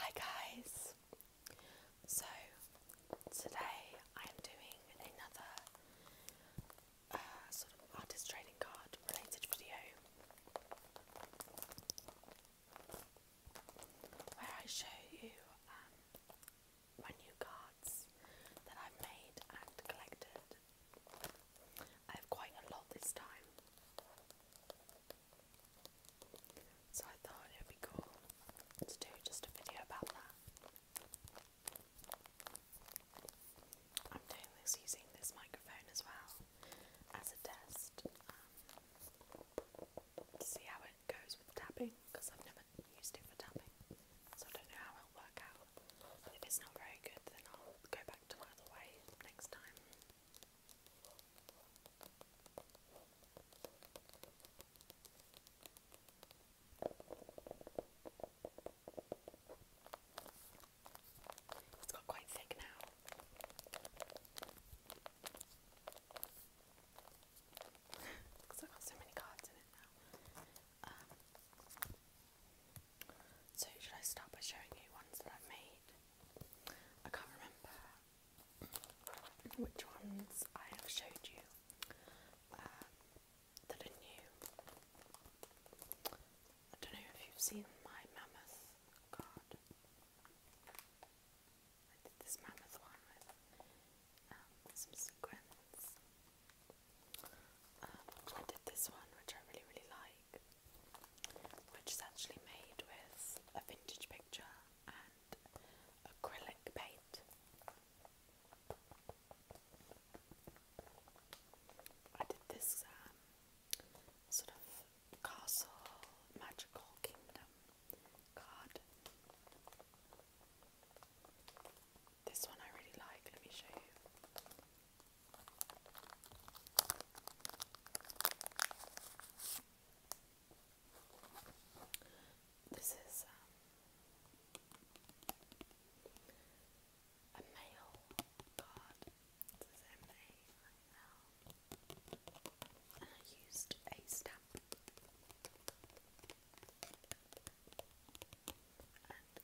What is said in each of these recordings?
Hi guys! So today I am doing another uh, sort of artist trading card related video where I show you um, my new cards that I've made and collected. I have quite a lot this time. So I thought it would be cool to do just a video about that. I'm doing this using this microphone as well as a test um, to see how it goes with tapping because I've never used it for tapping, so I don't know how it'll work out. if it's not very good, then I'll go back to my way next time. It's got quite thick now. Because I've got so many cards in it now. Um, so, should I start by showing you ones that I've made? I can't remember which ones I have showed you uh, that are new. I don't know if you've seen my mammoth card. I did this mammoth one with um, some sequins. Um, I did this one, which I really, really like which is actually made with a vintage picture and acrylic paint. I did this um, sort of castle magical kingdom card. This one I really like. Let me show you. This is um, a mail card. This is And I used a stamp and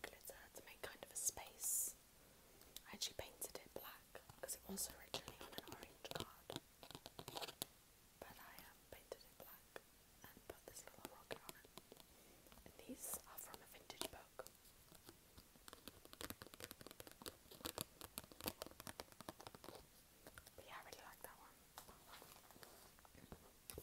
glitter to make kind of a space I actually painted it black because it was originally on an orange card, but I um, painted it black and put this little rocket on it. these are from a vintage book. But I really like that one. Let put it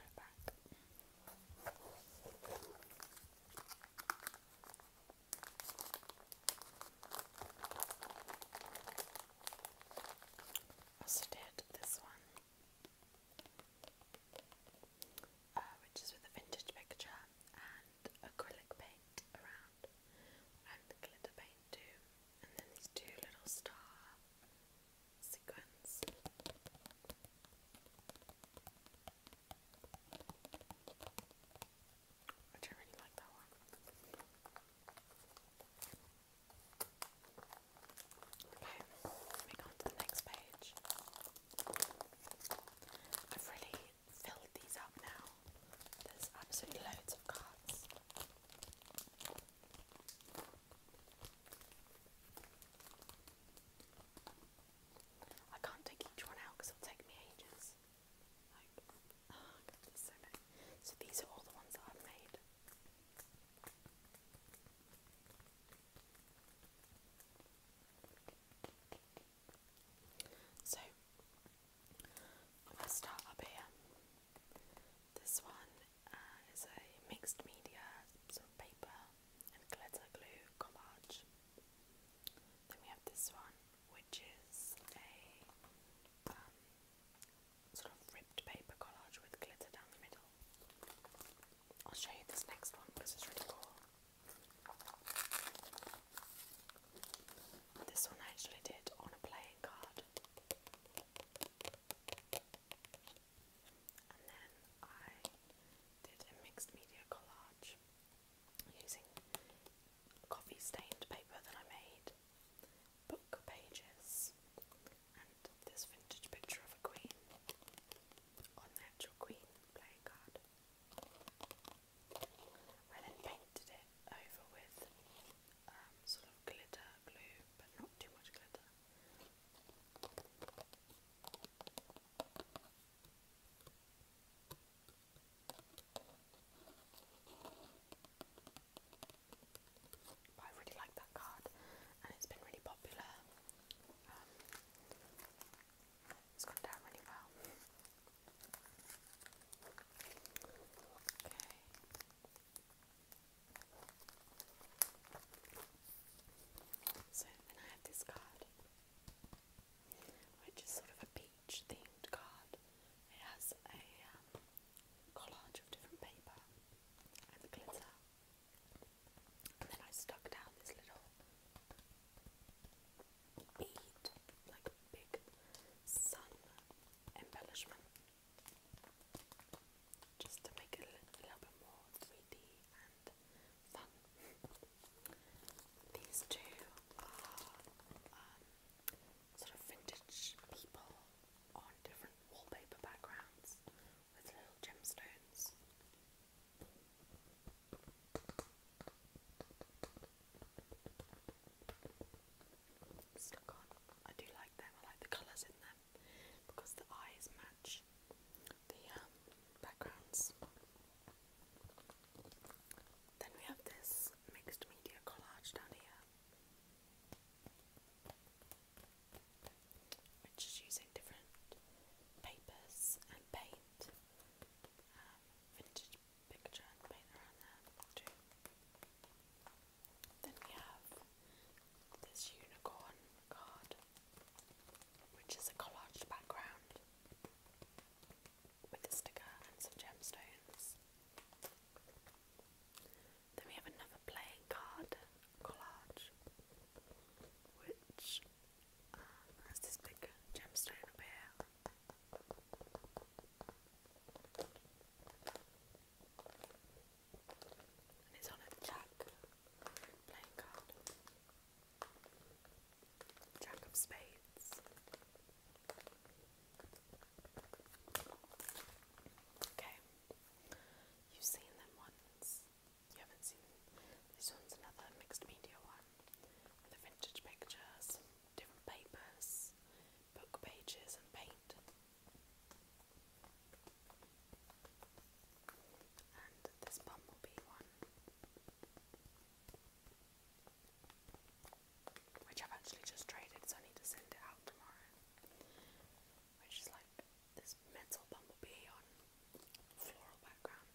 back. Also did this one, uh, which is with a vintage picture and acrylic paint around and glitter paint too, and then these two little star sequins. Which I really like that one. Okay, moving on to the next page. I've really filled these up now. There's absolutely loads of cards. I can't take each one out because it'll take me ages. Like, oh, so many. So these are all the ones that I've made. So, I'm start up here. This one uh, is a mixed media sort of paper and glitter glue collage. Then we have this one, which is a um, sort of ripped paper collage with glitter down the middle. I'll show you this next one because it's really cool. This one I actually did on a playing card. And then I did a mixed media collage using coffee stained paper that I made, book pages, and this vintage picture of a queen on the actual queen playing card. I then painted it over with um, sort of glitter glue, but not too much glitter. But I really like that card and it's been really popular. Um, it's gone down really well. Okay. So then I have this card, which is sort of a beach themed card. It has a um, collage of different paper and glitter. And then I stuck down this little bead, like a big sun embellishment just to make it a little, a little bit more 3D and fun. These two are um, sort of vintage people on different wallpaper backgrounds with little gemstones. I do like them, I like the colours in them because the eyes match the um, backgrounds. Then we have this mixed media collage down here, which is using different papers and paint, um, vintage picture paint around there Then we have this unicorn card, which is a collage background with a sticker and some gemstones. Then we have another playing card collage, which uh, has this big gemstone up here. And it's on a jack playing card. Jack of spades. Okay. You've seen them once. You haven't seen This one's another mixed media one. the vintage pictures, different papers, book pages and paint. And this bumblebee one, which I've actually just traded, so I to send it out tomorrow. Which is like this metal bumblebee on floral background.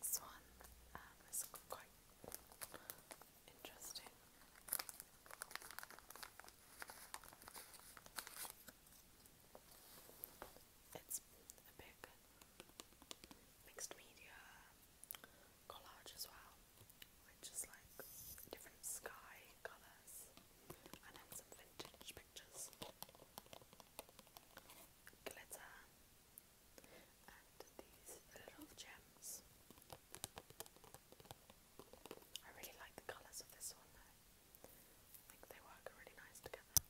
This one um, is quite Interesting. It's a big mixed media collage as well, which is like different sky colours and then some vintage pictures, glitter, and these little gems. I really like the colours of this one I think they work really nice together.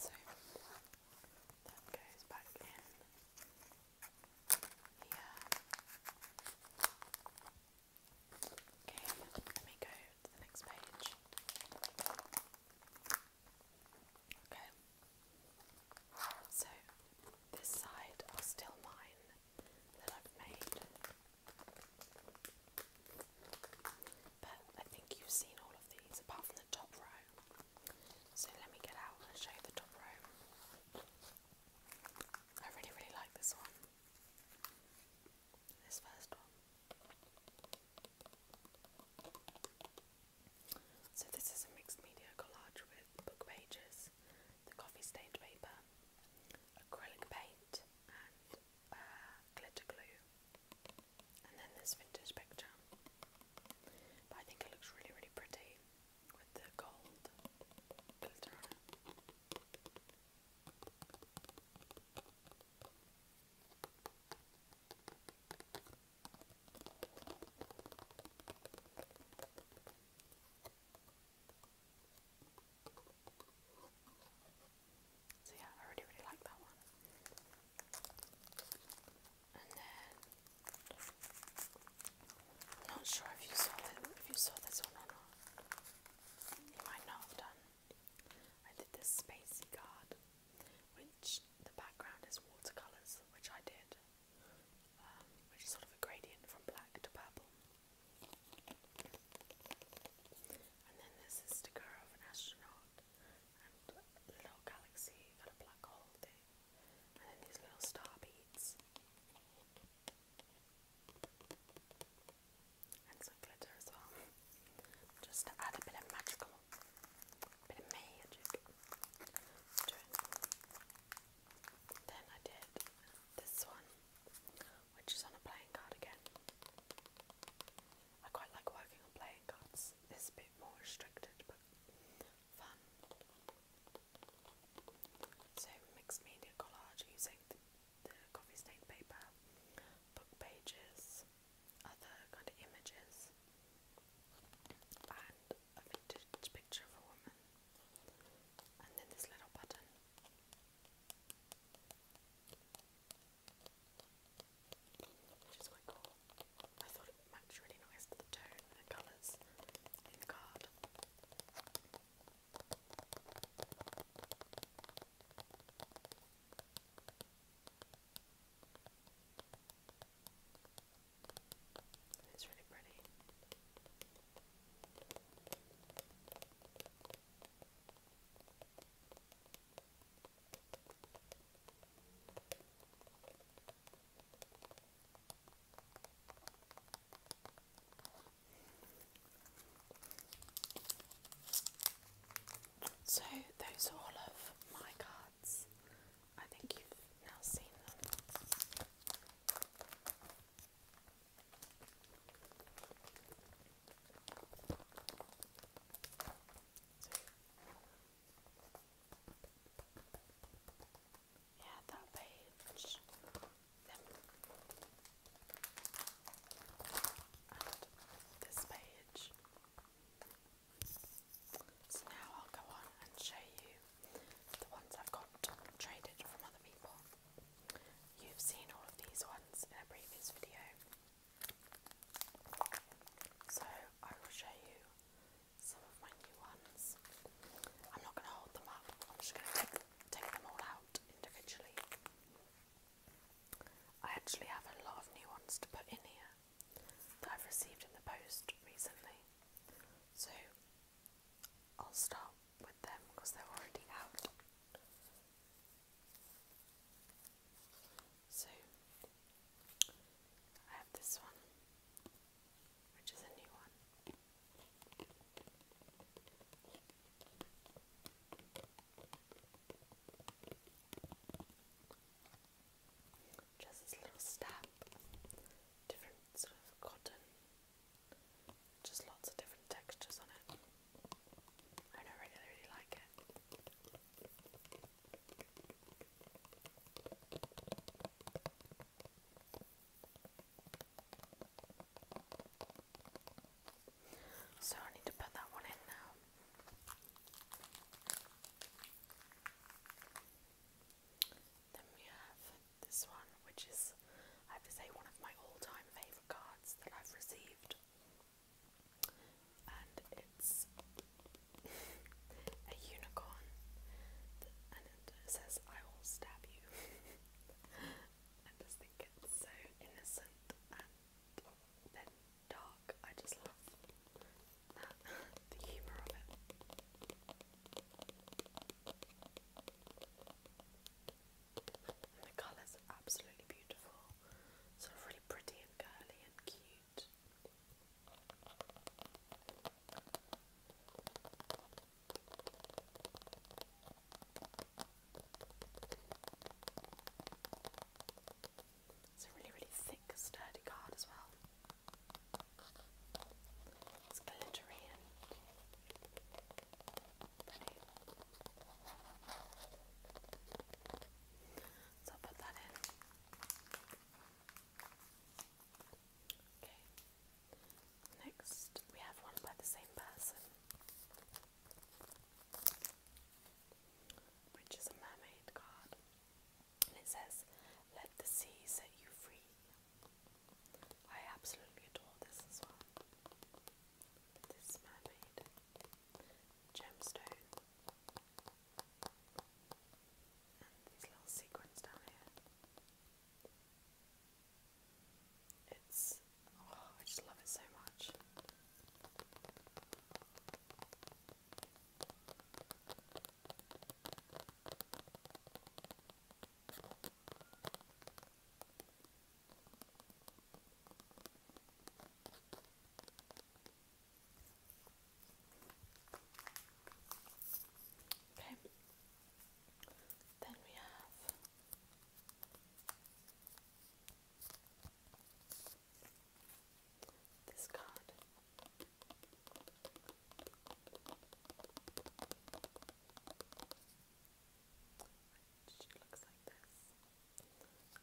So that goes back in. Yeah. Okay, let me go to the next page. Okay. So, this side are still mine that I've made. But I think you've seen all of these apart from the top row. So, let me get out and show the top row. I really, really like this one. This first one. So, this is a mixed media collage with book pages, the coffee stained paper, acrylic paint, and uh, glitter glue. And then this vintage picture. But I think it looks really, really pretty with the So yeah, I really really like that one. And then i not sure if you saw if you saw this one or not. might not have done. I did this spacey card, which the background is watercolors, which I did, um, which is sort of a gradient from black to purple. And then this is the sticker of an astronaut and a little galaxy and a black hole thing and then these little star beads, and some glitter as well, just to add a bit of magical, bit of magic Then I did this one, which is on a playing card again. I quite like working on playing cards. It's bit more restricted, but fun. So mixed media collage using the, coffee stain paper, book pages, other kind of images, and a vintage picture of a woman, and then this little button. Which is quite cool match really nice the tone and colours in the card. It's really pretty. So, those are all of my cards. I think you've now seen them. Yeah, that page. And this page. So now I'll go on and show you the ones I've got traded from other people. You've seen all of these ones in a previous video. So I will show you some of my new ones. I'm not going to hold them up, I'm just going to take, take them all out individually. I actually have a lot of new ones to put in here that I've received in the post recently. So I'll start with them because they're already out. So I have this one which is a new one. Just this little stamp, different sort of cotton, just lots of different textures on it. I know, really, really like it. So I need to put that one in now. Then we have this one, which is, I have to say, one of my all time favourite cards that I've received. And it's a unicorn, and it says, I will stab you. I just think it's so innocent and then dark. I just love the humour of it. the colours are absolutely beautiful, sort of really pretty and girly and cute. It's a really, really thick, sturdy card as well. It's glittery So I'll put that in. Okay. Next, we have one by the same person, which is a mermaid card, and it says, "Let the sea set you free." I absolutely adore this as well. This mermaid gemstone and these little sequins down here. It's oh, I just love it so much. Okay. Then we have this card. Which looks like this.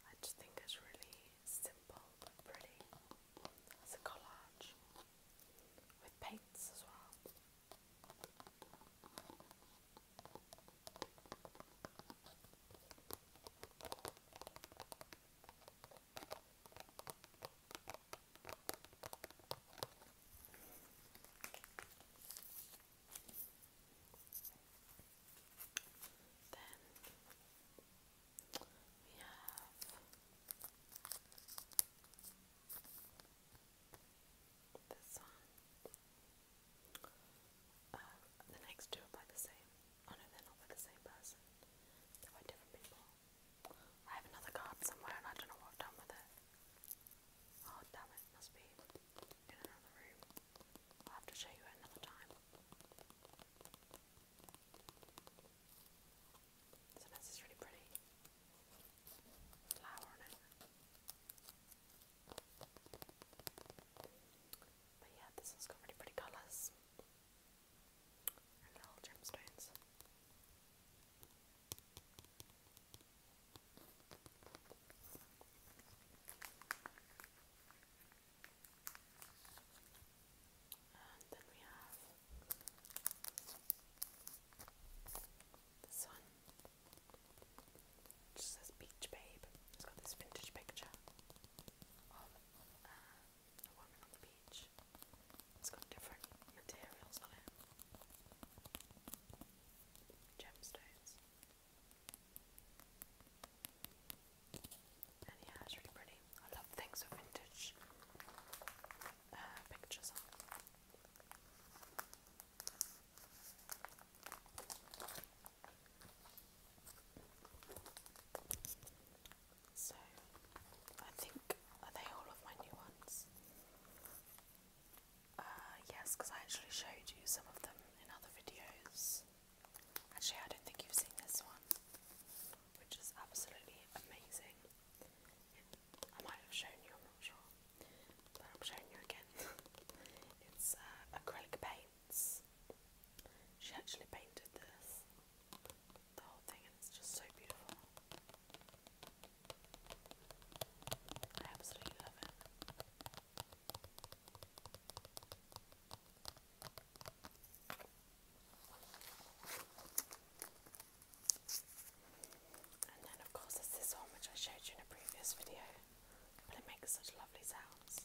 I just think it's really similar simple but It's a collage with paints as well. Then we have this one. the next two are by the same. Oh no, they're not by the same person. They're by different people. I have another card somewhere and I don't know what I've done with it. Oh damn it, must be in another room. I'll have to show you another time. So that's this really pretty flower on it. But yeah, this one's got really pretty colours and little gemstones. And then we have this one, which says Beach Babe. It's got this vintage picture of uh, a woman on the beach. It's got different materials on it, gemstones yeah, it's really pretty. I love things of vintage uh, pictures So, I think, are they all of my new ones? Uh, yes, because I actually showed you some of them in other videos. Actually, I don't think you've seen this one, which is absolutely amazing. I might have shown you, I'm not sure, but I'm showing you again. it's uh, acrylic paints. She actually painted this, the whole thing, and it's just so beautiful. I absolutely love it. And then, of course, there's this one which I showed you in a previous video, but it makes such lovely sounds.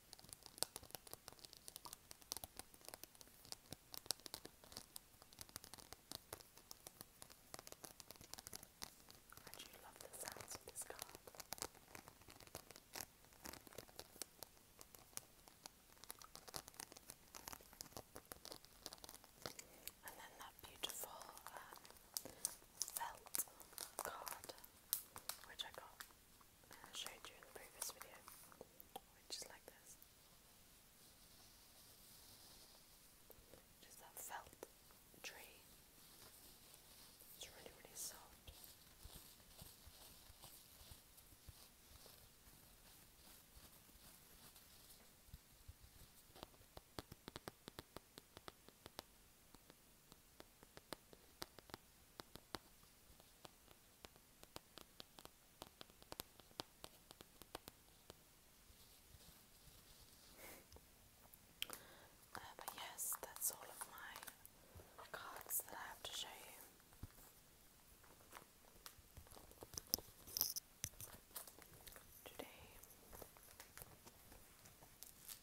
I you love the sounds of this card. And then that beautiful um, felt card which I got that I showed you in the previous video, which is like this. It is that felt tree. It's really, really soft. It's uh, but yes, that's all of my cards that I have to show you. Today,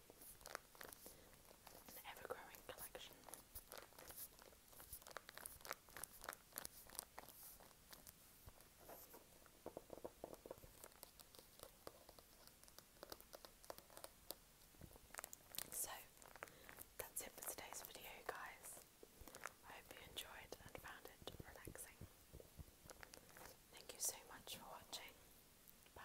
So, that's it for today's video, guys. I hope you enjoyed and found it relaxing. Thank you so much for watching. Bye.